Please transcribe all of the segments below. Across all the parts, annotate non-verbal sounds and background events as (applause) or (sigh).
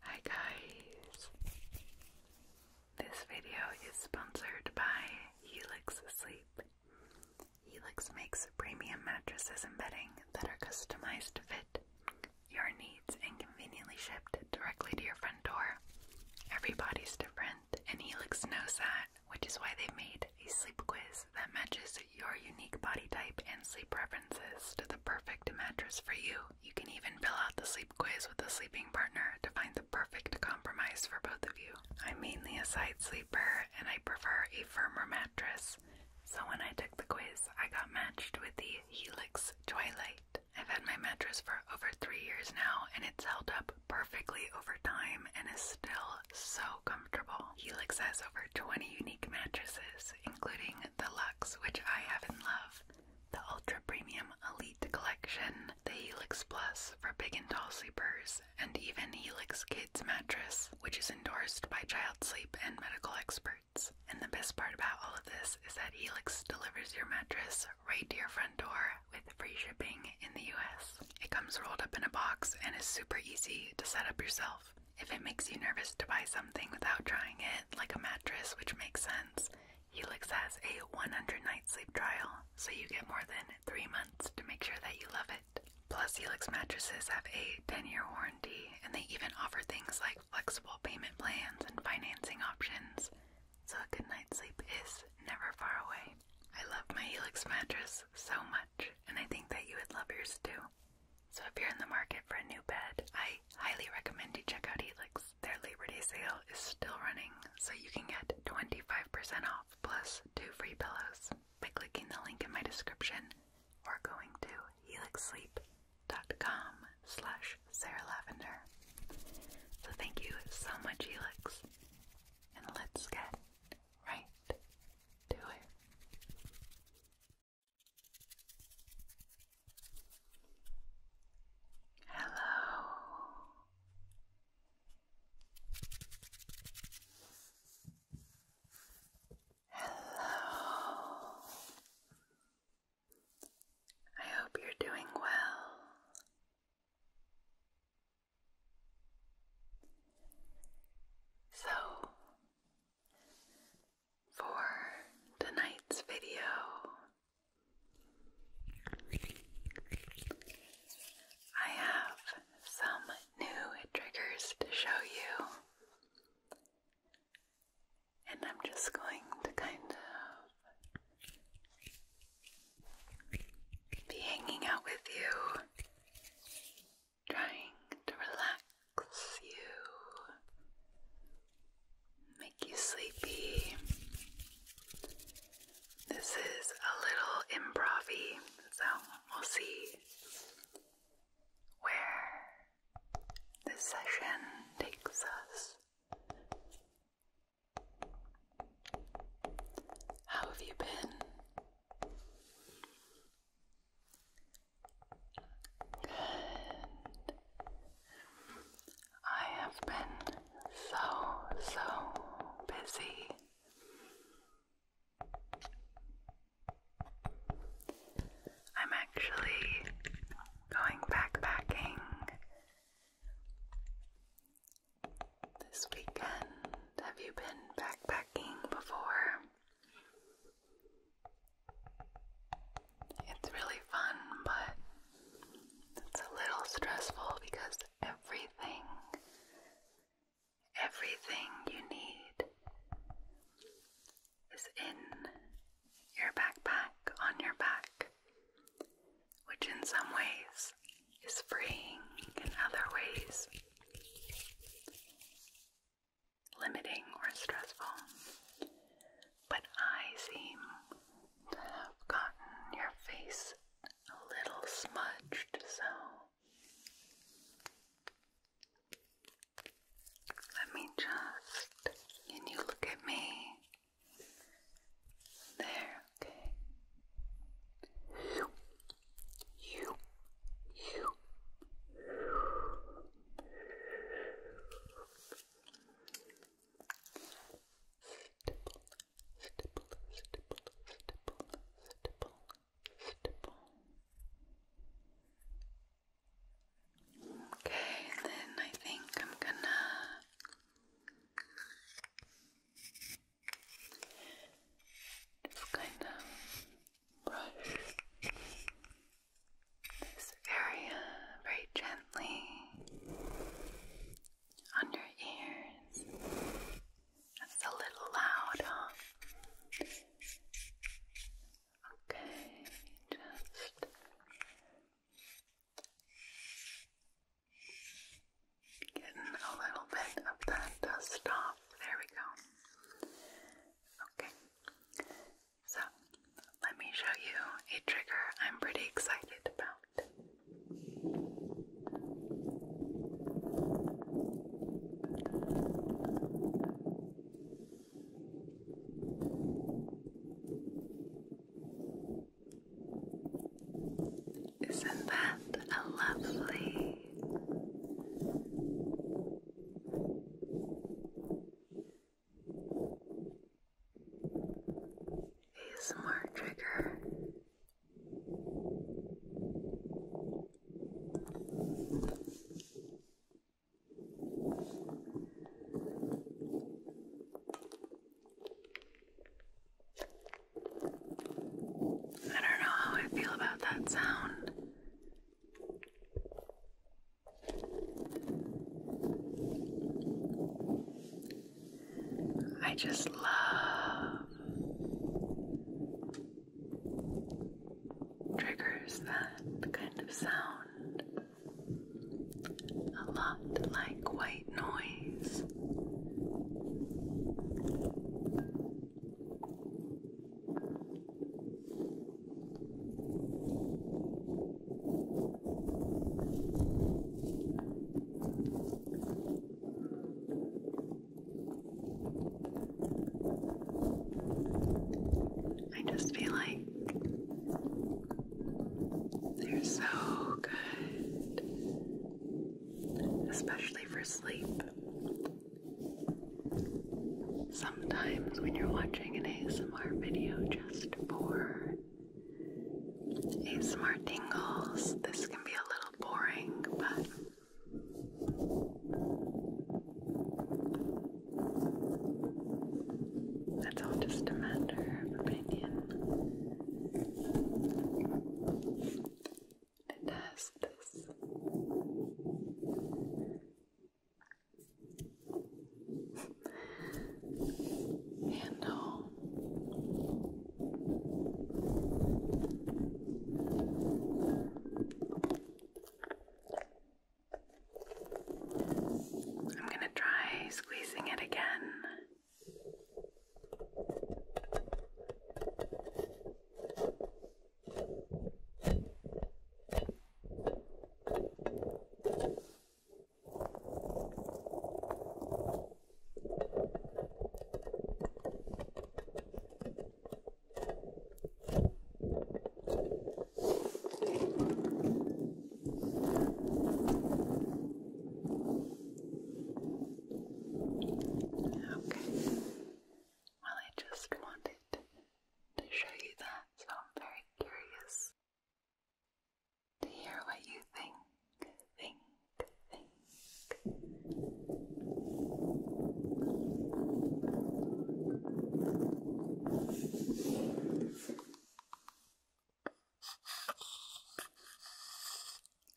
Hi guys! This video is sponsored by Helix Sleep. Helix makes premium mattresses and bedding that are customized to fit your needs and conveniently shipped directly to your front door. Everybody's different, and Helix knows that, which is why they've made a sleep quiz that matches your unique body type and sleep preference to the perfect mattress for you. You can even fill out the sleep quiz with a sleeping partner to find the perfect compromise for both of you. I'm mainly a side sleeper and I prefer a firmer mattress, so when I took the quiz, I got matched with the Helix Twilight. I've had my mattress for over three years now, and it's held up perfectly over time and is still so comfortable. Helix has over 20 unique mattresses including the Lux, which I have in love, the Ultra Premium Elite Collection, the Helix Plus for big and tall sleepers, and even Helix Kids Mattress, which is endorsed by child sleep and medical experts. And the best part about all of this is that Helix delivers your mattress right to your front door with free shipping in the US. It comes rolled up in a box and is super easy to set up yourself. If it makes you nervous to buy something without trying it, like a mattress, which makes sense, Helix has a 100 night sleep trial, so you get more than three months to make sure that you love it. Plus, Helix mattresses have a 10 year warranty, and they even offer things like flexible payment plans and financing options, so a good night's sleep is never far away. I love my Helix mattress so much, and I think that you would love yours too. So if you're in the market for a new bed, I highly recommend you check out Helix. Their Labor Day sale is still running, so you can get 25% off plus two free pillows by clicking the link in my description or going to helixsleep.com slash Sarah Lavender. So thank you so much, Helix, and let's get right to it. Hello. Hello. I hope you're doing well. So, for tonight's video. I have some new triggers to show you, and I'm just going to kind of be hanging out with you trying to relax you, make you sleepy. This is a little improv so we'll see where this session takes us. How have you been? I have been so, so busy. I'm actually going backpacking this weekend. Have you been backpacking before? It's really fun, but it's a little stressful because everything, everything you need is in your backpack, on your back, which in some ways is freeing, in other ways limiting or stressful. But I seem to have gotten your face a little smudged, so let me just. Can you look at me? There, okay. You, you, you, stipple, stipple, Okay, then I think I'm gonna just kind of brush this area very gently on your ears. That's a little loud, huh? Okay, just getting a little bit of that dust off. There we go. Okay. So, let me show you a trigger I'm pretty excited about. Isn't that a lovely a smart trigger. I don't know how I feel about that sound. I just love triggers that kind of sound a lot like white noise. I just feel like they're so good, especially for sleep. Sometimes when you're watching an ASMR video just for ASMR tingles, this can be a little boring, but that's all just a matter of opinion. To test this handle I'm going to try squeezing it again. Okay. Well, I just wanted to show you that, so I'm very curious to hear what you think. Think, think.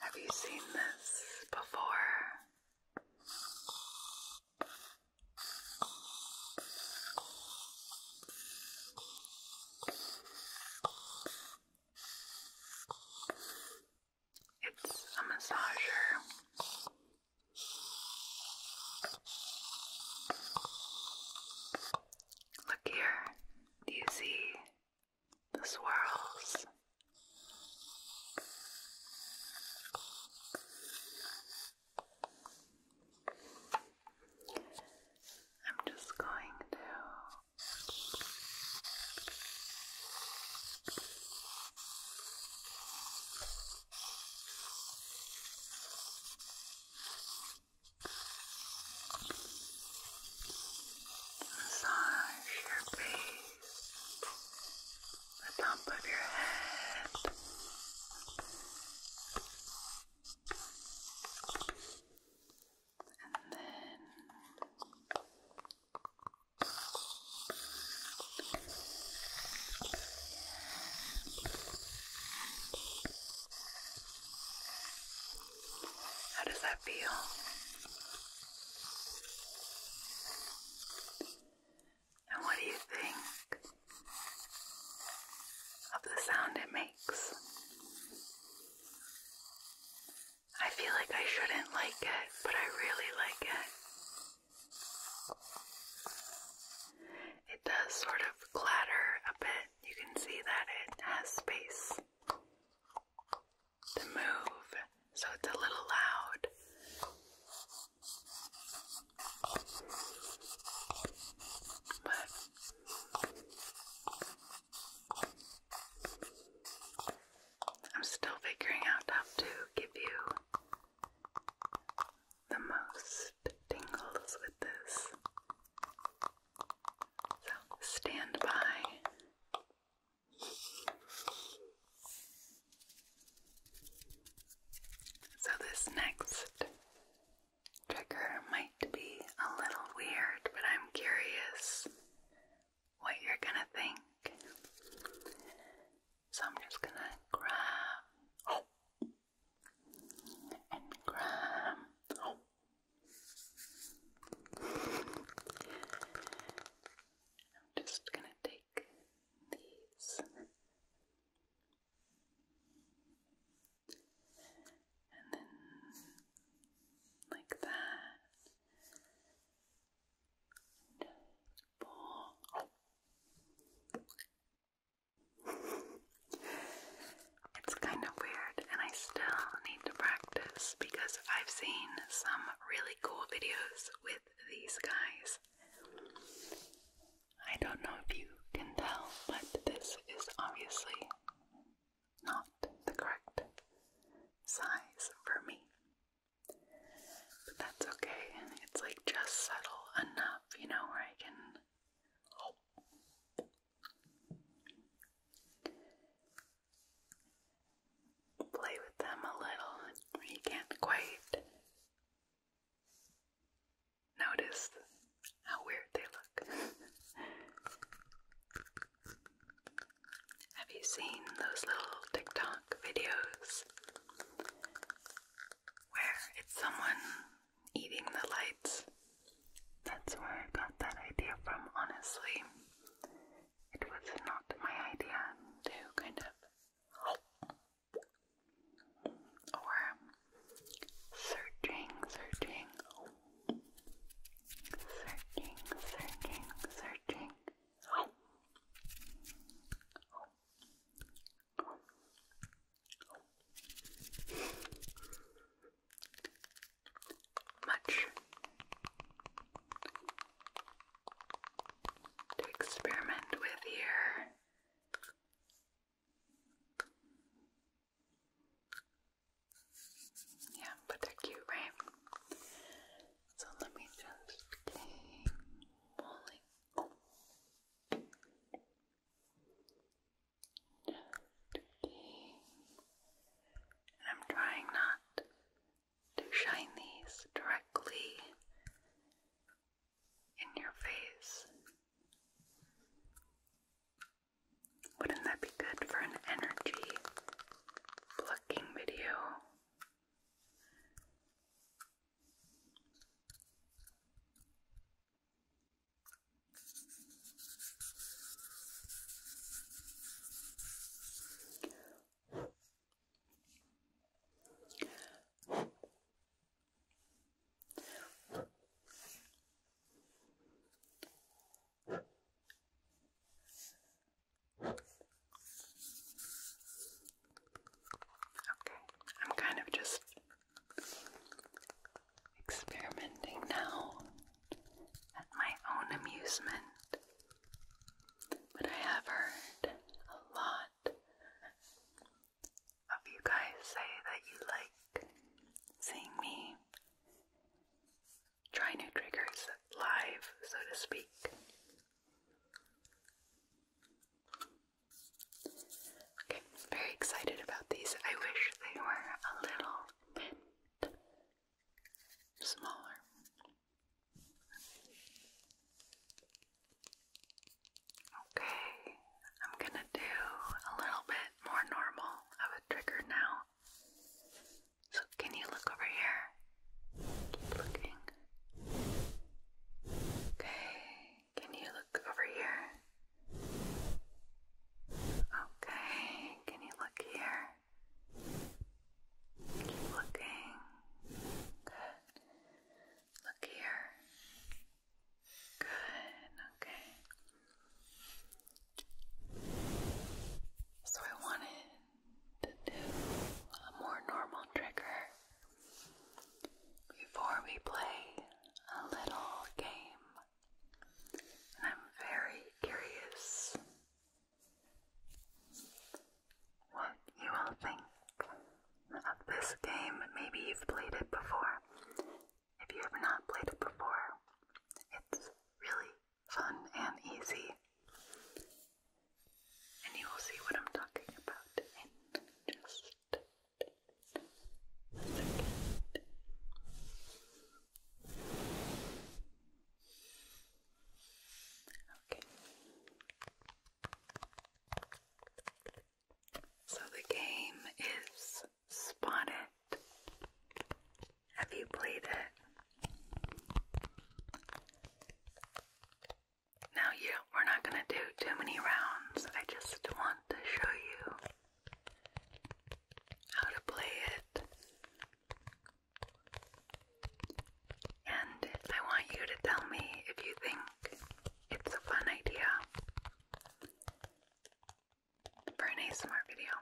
Have you seen this before? It's a massager. Look here. Do you see the swirls? I'm just going to massage your face the top of your head. And then how does that feel? And what do you think of the sound it makes? I feel like I shouldn't like it, but I really like it. It does sort of clatter a bit. You can see that it has space to move, so it's a little loud. I'm still figuring out how to give you the most tingles with this. So stand by. So, this next trigger might be a little weird, but I'm curious what you're gonna think. So, I'm just gonna grab and grab. I'm just gonna take like these. And then like that. It's kind of weird, and I still need to practice because I've seen some really cool videos with these guys I don't know if you can tell, but this is obviously not the correct size for me. But that's okay. It's like just subtle enough, you know, where I can. Play with them a little. You can't quite Notice how weird they look. (laughs) Have you seen those little TikTok videos where it's someone eating the lights? That's where I got that idea from, honestly. It was not my idea to kind of or searching, searching, searching, searching, searching. Much, to experiment with here. Yeah, but they're cute, right? So let me just take I'm trying not to shine these directly in your face. Wouldn't that be good for an energy plucking video? Okay, I'm kind of just experimenting now at my own amusement, but I have heard a lot of you guys say that you like seeing me try new triggers live, so to speak. Okay, very excited about these. I wish they were a little bit smaller. Okay, I'm gonna do a little bit more normal of a trigger now. So, can you look over here? Okay, can you look over here? Okay, can you look here? Keep Look here. Good, okay. So I wanted to do a more normal trigger before we play a little game. I'm very curious what you all think of this game. Maybe you've played it before. If you have not played it before, it's really fun and easy. And you will see what I'm talking about in just a second. Okay. So the game is Spot It. Have you played it? Now, you, we're not going to do too many rounds. I just want to show you how to play it. And I want you to tell me if you think it's a fun idea for an ASMR video.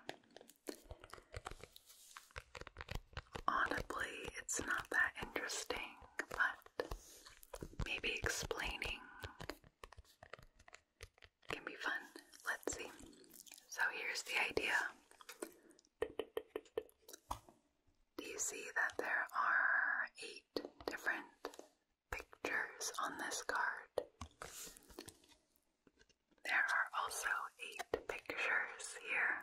Audibly, it's not that interesting, but maybe explaining can be fun. Let's see. So here's the idea do you see that there are eight different pictures on this card? There are also eight pictures here.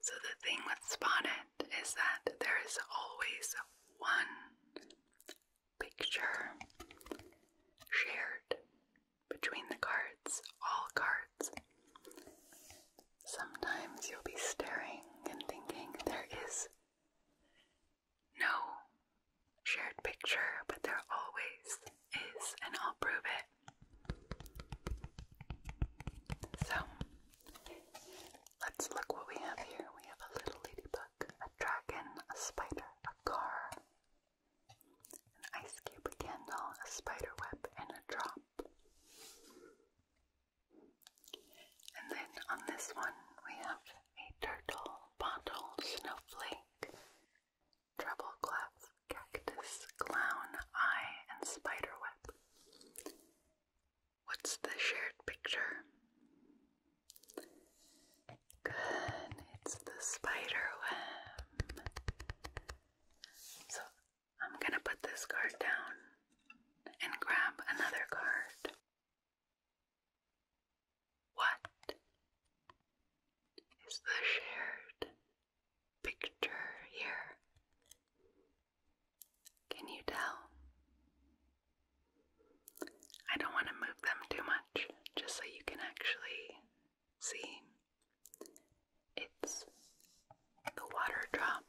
So, the thing with Spotted is that there is always one picture shared between the cards, all cards. Sometimes you'll be staring and thinking there is no shared picture, but there always is, and I'll prove it. So, let's look what we have here. We have a little ladybug, a dragon, a spider, a car, an ice cube, candle, a spider web, and a drop. And then on this one, we have a turtle, bottle, snowflake, treble clef, cactus, clown, eye, and spiderweb. What's the shared picture? Good, it's the spiderweb. So I'm gonna put this card down and grab another card. What is the shared picture here? Can you tell? I don't want to move them too much, just so you can actually see. It's the water drop.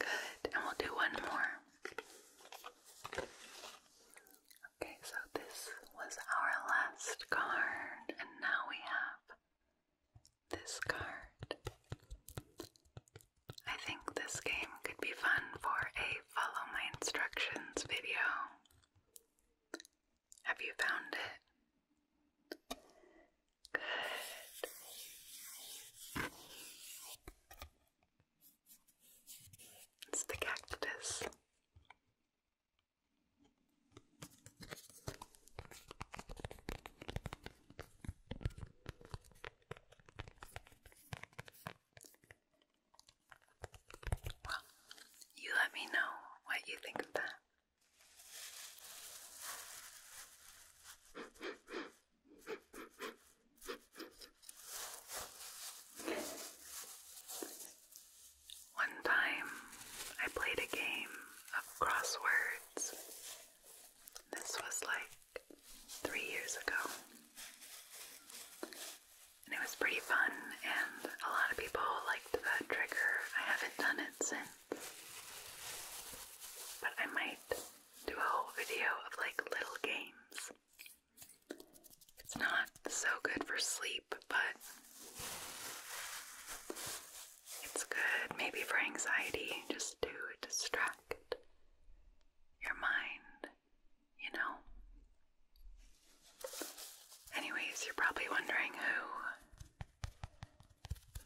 Good, and we'll do one more. Okay, so this was our last card, and now we have this card. I think this game could be fun for a follow my instructions video. Have you found it? Good. It's the cactus. Well, you let me know what you think of that. One time I played a game of crosswords. This was like three years ago. And it was pretty fun, and a lot of people liked that trigger. I haven't done it that sense. But I might do a whole video of like little games. It's not so good for sleep, but it's good maybe for anxiety just to distract your mind, you know. Anyways, you're probably wondering who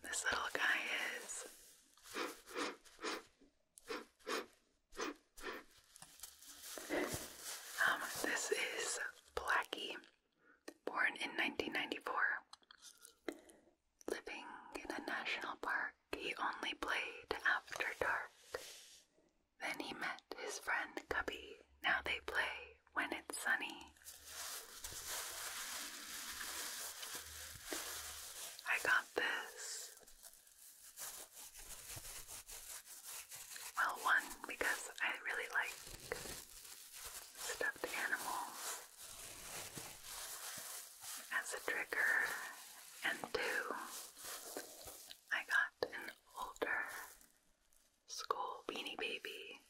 this little guy is. um, this is Blackie, born in 1994. Living in a national park, he only played after dark. Then he met his friend Cubby. Now they play when it's sunny. I got this. Well, one, because I really like stuffed animals as a trigger, and two, I got an older school beanie baby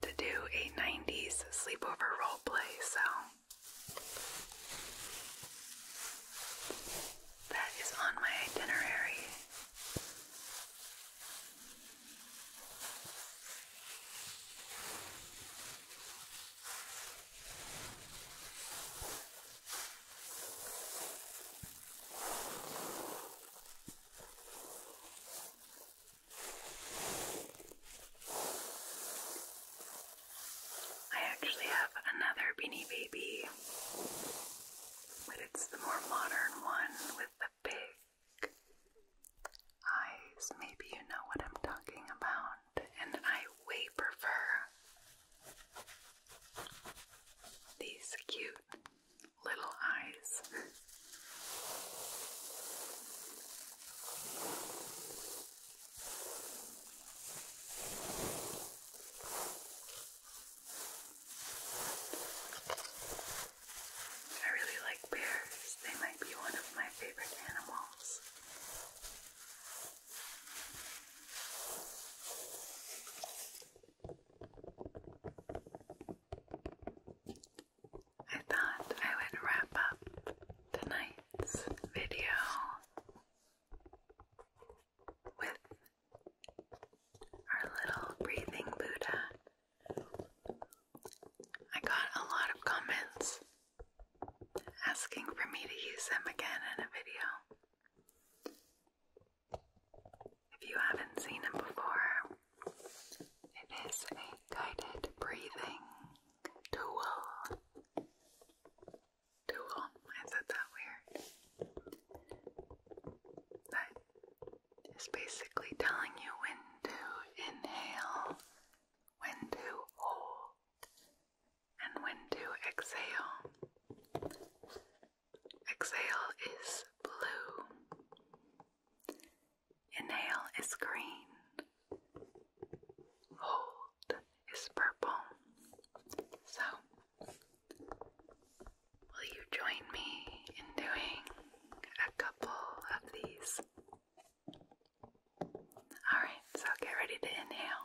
to do a 90s sleepover role play, so that is on my itinerary. I actually have another Beanie Baby, but it's the more modern one with the big eyes. Maybe you know what I'm talking about, and I way prefer these cute little eyes. I really like bears. They might be one of my favorite animals. I thought I would wrap up tonight's video with our little breathing Buddha. I got a lot of comments asking for me to use them again in a video. If you haven't seen him before, it is a guided breathing tool. Tool, I said that weird. That is basically telling you when to inhale, when to hold, and when to exhale. Exhale is blue, inhale is green, hold is purple. So, will you join me in doing a couple of these? Alright, so get ready to inhale.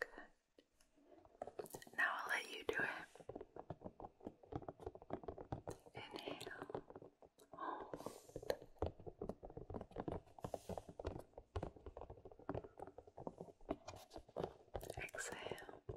Good. Now I'll let you do it. Inhale. Hold. Exhale.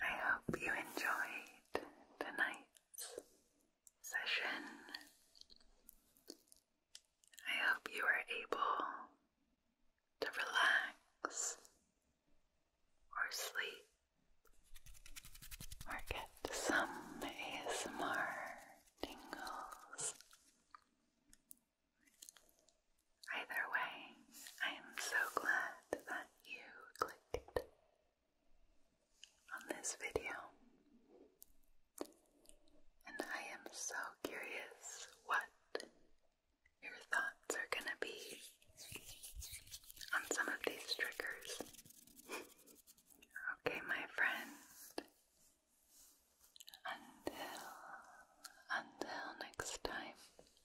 I hope you enjoyed tonight's session. I hope you were able to relax or sleep or get some ASMR tingles. Either way, I am so glad that you clicked on this video. And I am so curious what your thoughts are gonna be on some of these triggers. okay, my friend. Until until next time.